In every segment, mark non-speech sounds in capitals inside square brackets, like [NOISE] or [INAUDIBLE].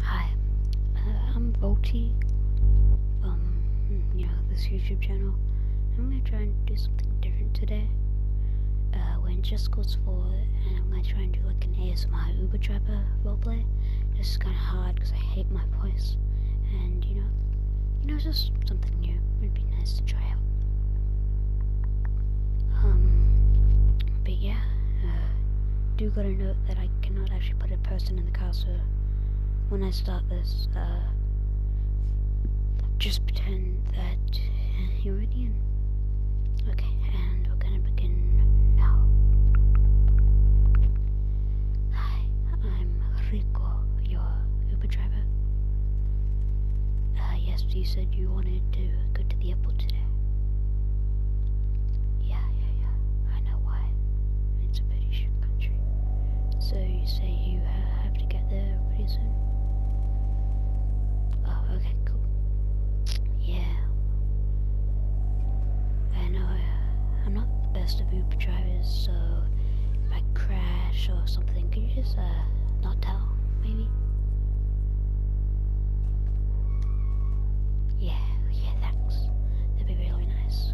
Hi, uh, I'm Volty from mm, you know this YouTube channel. I'm gonna try and do something different today. Uh, when just goes for, and I'm gonna try and do like an ASMR Uber driver roleplay. This is kind of hard because I hate my voice, and you know, you know, it's just something new. It'd be nice to try out. Um, but yeah, uh, do got a note that I cannot actually put a person in the car, so when I start this, uh, just pretend that you're already in. Okay, and we're gonna begin now. Hi, I'm Rico, your Uber driver. Uh, yes, you said you wanted to go to the airport. Yeah, yeah, yeah. I know why. It's a pretty country. So you say you uh, have to get there pretty soon? Oh, okay, cool. Yeah. I know uh, I'm not the best of Uber drivers, so if I crash or something, can you just uh, not tell me? baby. Yeah, yeah, thanks. That'd be really nice.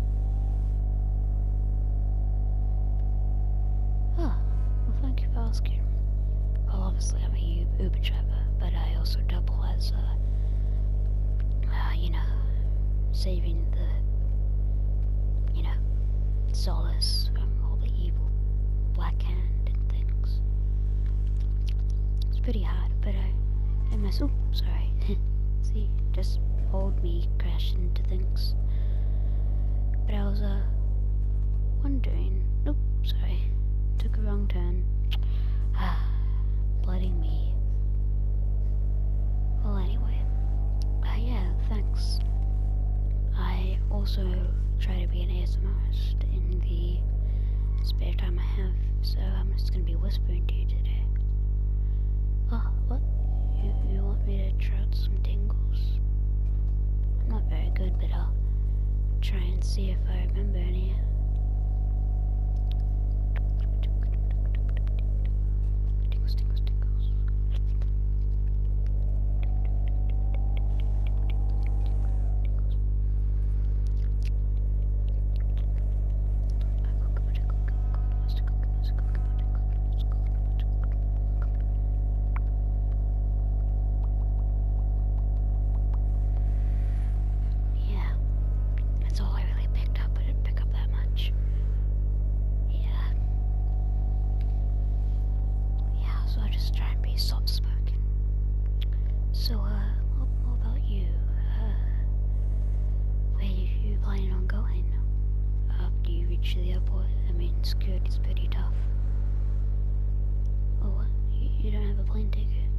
Oh, well thank you for asking. Well, obviously I'm a Uber driver, but I also double as, a, uh, uh, you know, saving the, you know, solace from all the evil black canned It's pretty hot, but I, I mess. Oop, sorry. [LAUGHS] See, just hold me, crash into things. But I was uh wondering. Oop, sorry, took a wrong turn. [SIGHS] Ah, blooding me. Well, anyway, uh, yeah, thanks. I also try to be be an ASMRist in the spare time I have, so I'm just gonna be whispering to you today. Oh, what? You, want me to try out some tingles? I'm not very good, but I'll try and see if I remember any. Yeah, that's all I really picked up. I didn't pick up that much. Yeah yeah, so I just try and be soft spoken. So, uh, what, about you? Uh, where you planning on going after you reach the airport? I mean, security's pretty tough. Oh, you don't have a plane ticket?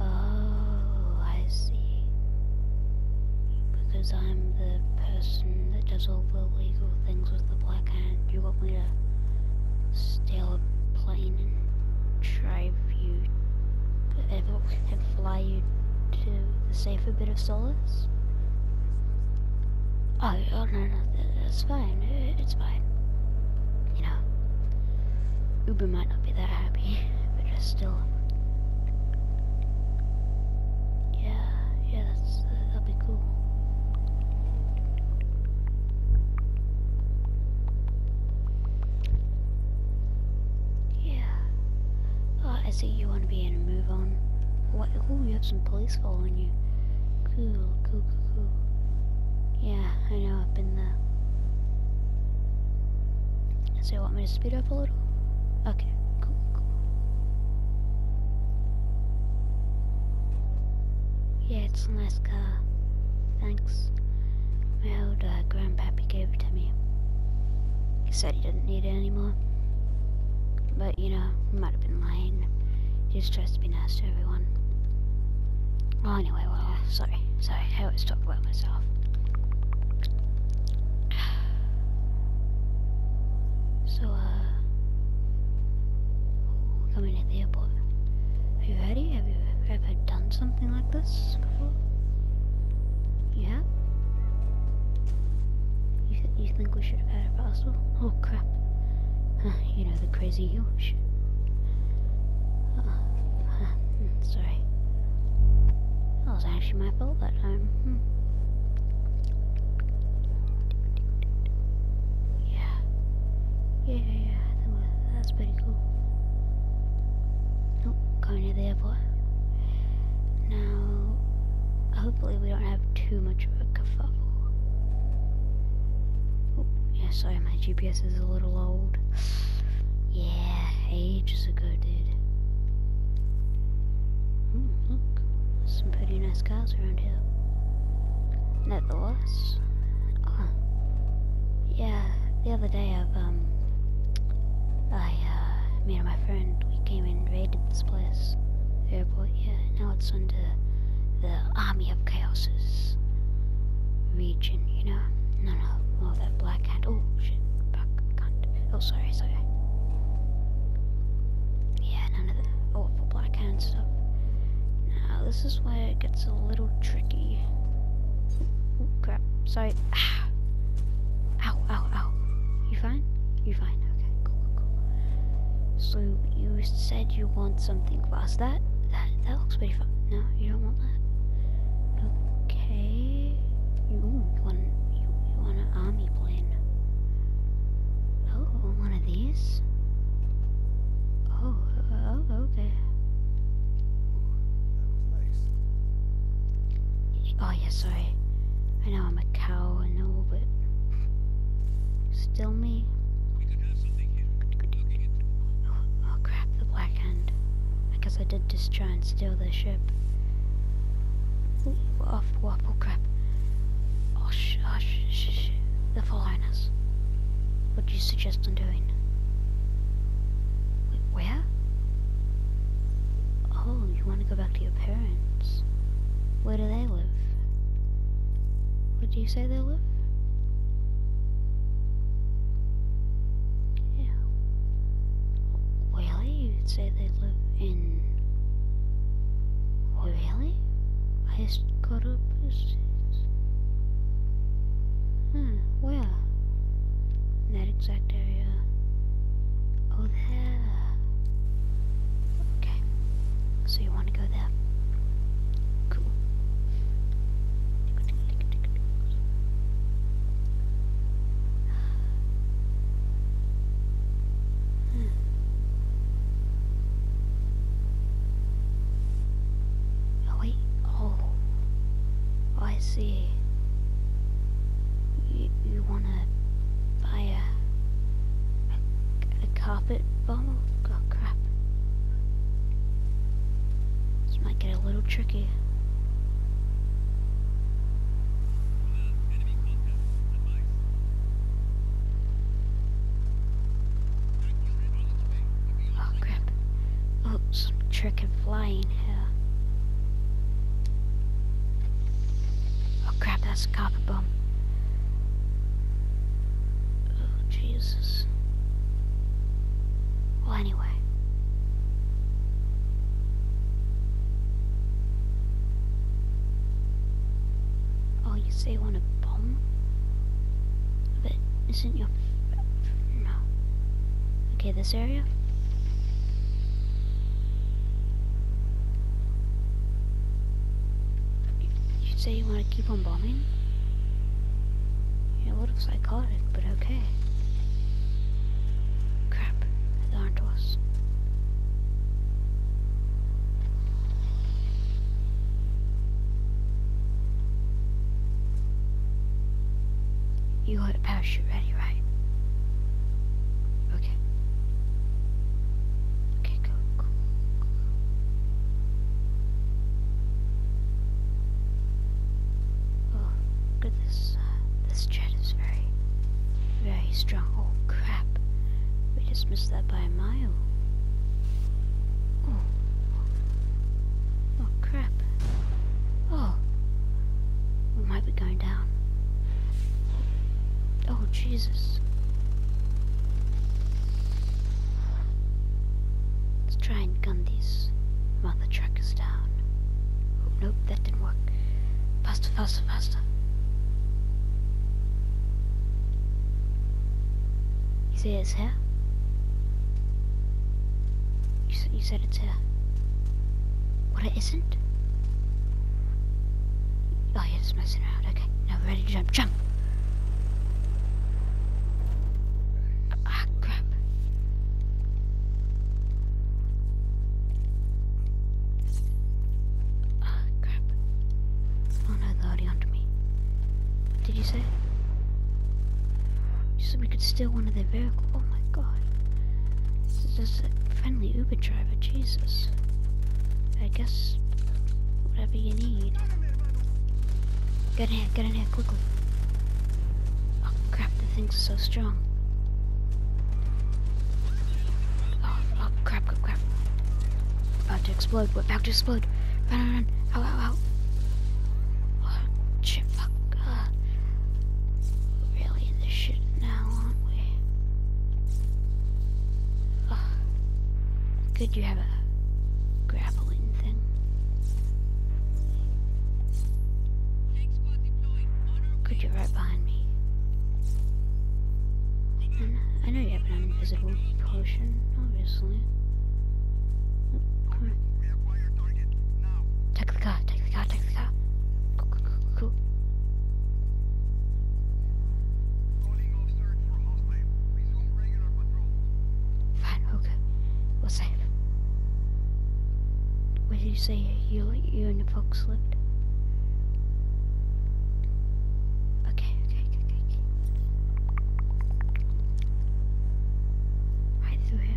Oh, I see. Because I'm the person that does all the legal things with the plane black you want me to steal a plane and drive you, and, and fly you to the safer bit of solace? Oh, oh no, no, that's fine, it's fine. You know, Uber might not be that happy, but just still. Yeah, yeah, that's, that'd be cool. Yeah. Oh, I see you want to be in a move on. Oh, you have some police following you. Cool, cool, cool, cool. Yeah, I know, I've been there. So you want me to speed up a little? Okay. Cool, cool. Yeah, it's nice Thanks. My old grandpappy gave it to me. He said he didn't need it anymore. But, you know, he might have been lying. He just tries to be nice to everyone. Well, anyway, well, sorry. Sorry, I always talk about myself. So, uh, Coming in airport. Are you ready? Have you ever done something like this before? You You, think we should have had a parcel? Oh crap. Uh, you know, the crazy you shit. Uh, uh, hmm, sorry. That was actually my fault that time. Um, hmm. Yeah. Yeah, yeah, That's pretty cool. Nope, oh, going to the airport. Now, hopefully we don't have too much of a kerfuffle. Oh, yeah, sorry, my GPS is a little old. Yeah, ages ago, dude. Oh, look, some pretty nice cars around here. Nevertheless, oh, yeah, the other day I've, um, I, uh, me and my friend, we came and raided this place, the airport, yeah, now it's under the Army of Chaos's region, you know? No, no, more that black cat. Oh, shit, black cat. Oh, sorry, sorry. Yeah, none of the awful black can't stop. Now, this is where it gets a little tricky. Ooh, crap. Sorry. Ah. Ow, ow, ow. You fine? You fine. Okay, So, you said you want something fast. That, that, that looks pretty fun. No, you don't want that? Okay. you want, you want an army plane. Oh, one of these? Oh, oh, okay. Oh, yeah, sorry. I know I'm a cow, and all, but... Still me? Oh, crap, the Black Hand. I guess I did just try and steal their ship. oh, off Waffle Crab. Or sh the foreigners. What do you suggest on doing? where? Oh, you want to go back to your parents. Where do they live? Where do you say they live? Yeah. Really? you say they live in really? I just got a post Huh, where? In that exact area. Oh, there. Okay. So you want to go there. Cool. Oh, hmm. wait. Oh. I see. You, you want to buy a, carpet bomb? Oh, crap. This might get a little tricky. Oh crap. Oh, some trick and flying here. Oh crap, that's a copper bomb. Oh Jesus. Well anyway. Oh, you say you want to bomb? But isn't your... No. Okay, this area? You say you want to keep on bombing? Yeah, what if psychotic, but okay. Crap, there aren't us. You got a parachute ready, right? Okay. Okay, go, go, go. Oh, look this. Uh, this jet is very very strong. Oh, crap. We just missed that by a mile. Oh. Oh, crap. Oh. We might be going down. Oh, Jesus. Let's try and gun these mother is down. Oh, nope, that didn't work. Faster, faster, faster. You see it's here? You, you said it's here. Well, it isn't? Oh, you're just messing around. Okay, now ready to jump. Jump! Ah, crap. Ah, crap. Crap. Oh they're already me. What did you say? You said we could steal one of their vehicles. Oh my god. This is a friendly Uber driver, Jesus. I guess whatever you need. Get in here, get in here quickly. Oh crap, the thing's so strong. Oh, oh, crap, crap, crap. About to explode. We're about to explode. Run, run, run. Ow, ow, ow. Oh, shit, fuck. Uh, really in this shit now, aren't we? Oh, good you have a grappling thing. Good you're right behind me. I know you have an invisible potion, obviously. Come on. Take the car, take the car, take the car. Go, go, go, go. Fine, okay. We're safe. What did you say? You, you the fox lived. Okay, okay, okay, okay. Right through here.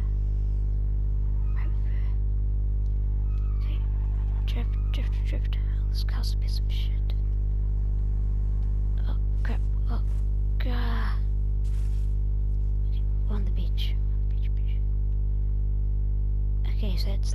Right through here. Okay. Drift, drift, drift. Let's cause a piece of shit. Oh crap. Oh god. on the beach. Beach, beach. Okay, so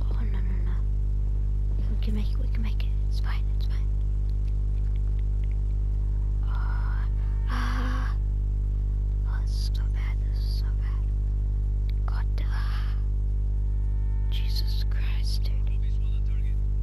Oh, no, no, no. We can make it, we can make it. It's fine, it's fine. Uh, ah. this is so bad, this is so bad. God, ah. Jesus Christ, dude.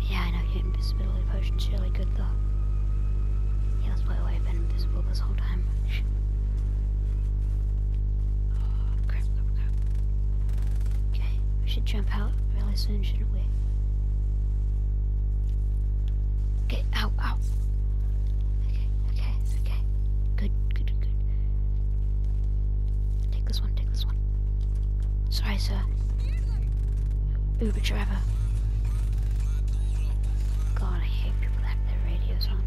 Yeah, I know your invisibility potion's really good though. Yeah, that's why I've been invisible this whole time. oh, Okay, we should jump out really soon, shouldn't we? Okay, ow, ow. Okay, okay, okay. Good, good, good. Take this one, take this one. Sorry, sir. Uber driver. God, I hate people that have their radios on.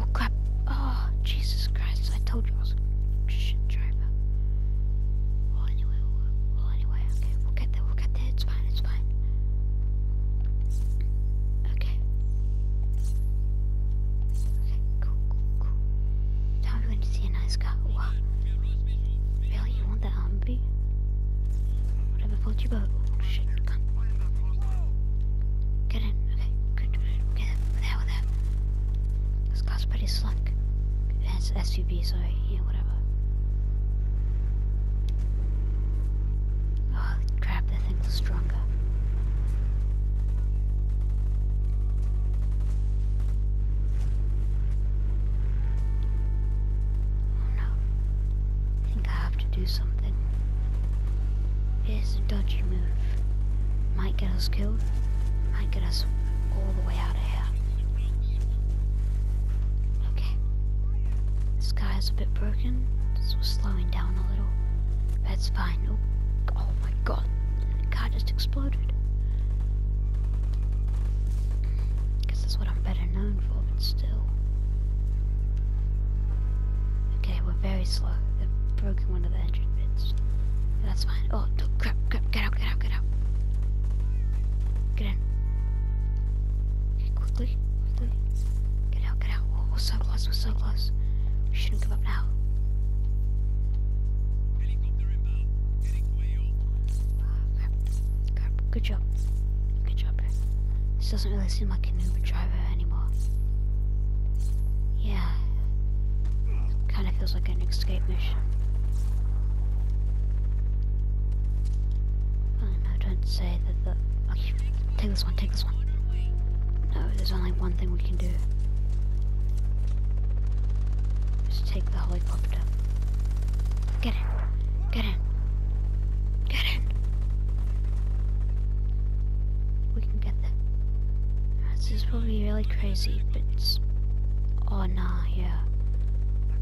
Oh crap. Oh, Jesus Christ, I told you shit driver. Well, anyway, well, anyway, okay, we'll get there, we'll get there, it's fine, it's fine. Okay. Okay, cool, cool, cool. Now we want to see a nice guy. What? You want that Humvee? Whatever floats your boat. Oh, Get in. Okay, Get in. With that, with that. This car's pretty slick. It's SUV, sorry. Yeah, whatever. Oh, crap, that thing's stronger. Oh no. I think I have to do something. Here's a dodgy move. Might get us killed, might get us all the way out of here. Okay. The sky is a bit broken, so we're slowing down a little. That's fine. Oh, oh my god. The car just exploded. Guess that's what I'm better known for, but still. Okay, we're very slow. They've broken one of the engine bits. that's fine. Oh, no, crap, crap, get out, get out, get out. Get in. quickly, quickly. Get out. We're, we're so close. We shouldn't give up now. Okay. Ah, Good job. Good job, This doesn't really seem like an Uber driver anymore. Yeah. Kind of feels like an escape mission. Oh, don't say take this one, take this one. No, there's only one thing we can do. Just take the helicopter. Get in, get in, get in. We can get there. This is probably really crazy, but it's, oh nah, yeah.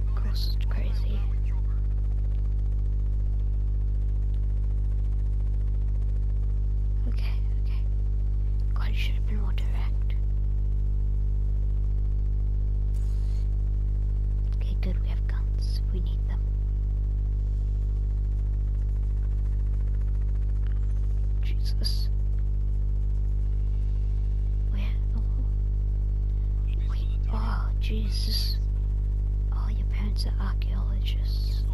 Of course it's crazy. Okay, okay. God, you should have Okay, good, we have guns. We need them. Jesus. Where? Oh. Wait, oh, Jesus. All your parents are archaeologists.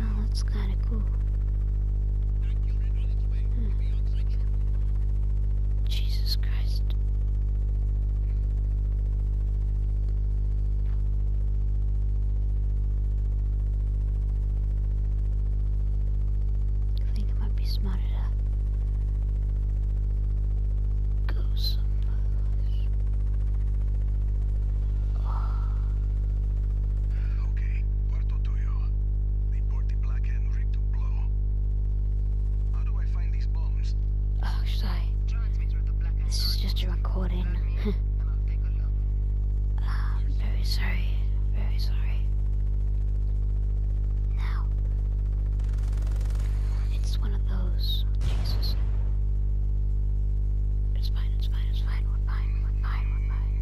Oh, that's kinda cool. Hmm. Jesus Christ. think it might smart okay, Puerto Tuyo. They the Black Hand rig to blow. How do I find these bombs? Oh, This is just a recording. [LAUGHS] very sorry, very sorry. Now, it's one of those. Jesus. It's fine, it's fine, it's fine. We're fine, we're fine, we're fine.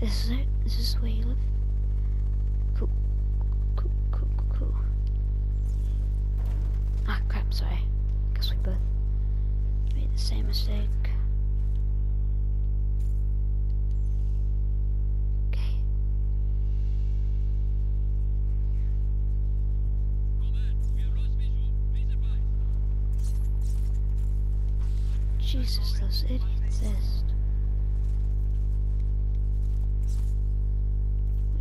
This is it? This is where you live? Cool. Cool, cool, cool, Ah, crap, sorry because we both made the same mistake. Okay. Jesus, those idiots exist.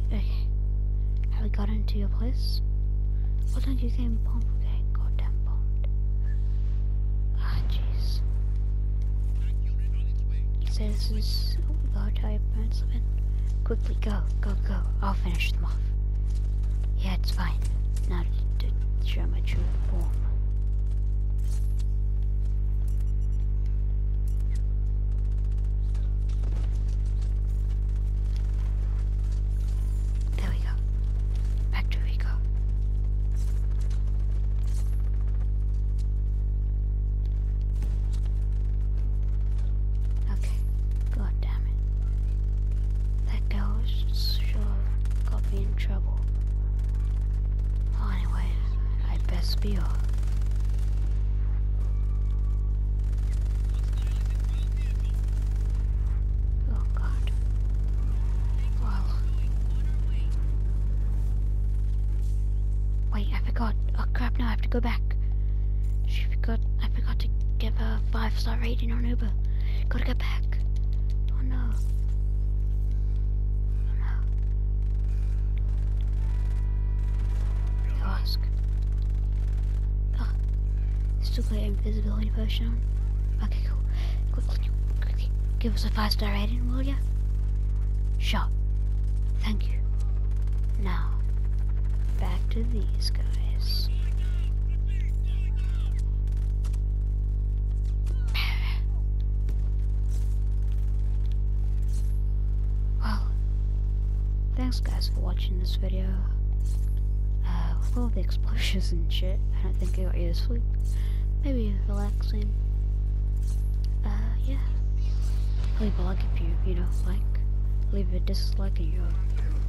Okay. Have we got into your place? Why don't you say bomb? Okay, goddamn about Archie's. It says it's about how your parents live Quickly go, go, go. I'll finish them off. Yeah, it's fine. Now to, to show my true form. There Back to Factory Okay. God damn it. That girl's sure got me in trouble. Well, anyway, i best be off. Oh god. Wow. Wait, I forgot. Oh crap, now I have to go back. She forgot, I forgot to give her a 5 star rating on Uber. Gotta go back. Oh no. Oh no. You ask. Oh, it's too late. Visibility potion Okay, cool. quickly, give us a five-star rating, will ya? Sure. Thank you. Now, back to these guys. well, thanks guys for watching this video. Uh, all the explosions and shit, I don't think I got you to sleep. Maybe relaxing. Uh, yeah. Leave a like if you, you know, like. Leave a dislike if you're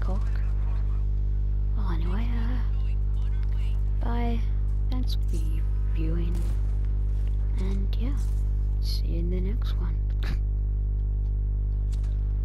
cock. Well, anyway, uh, bye. Thanks for viewing. And yeah, see you in the next one. [LAUGHS]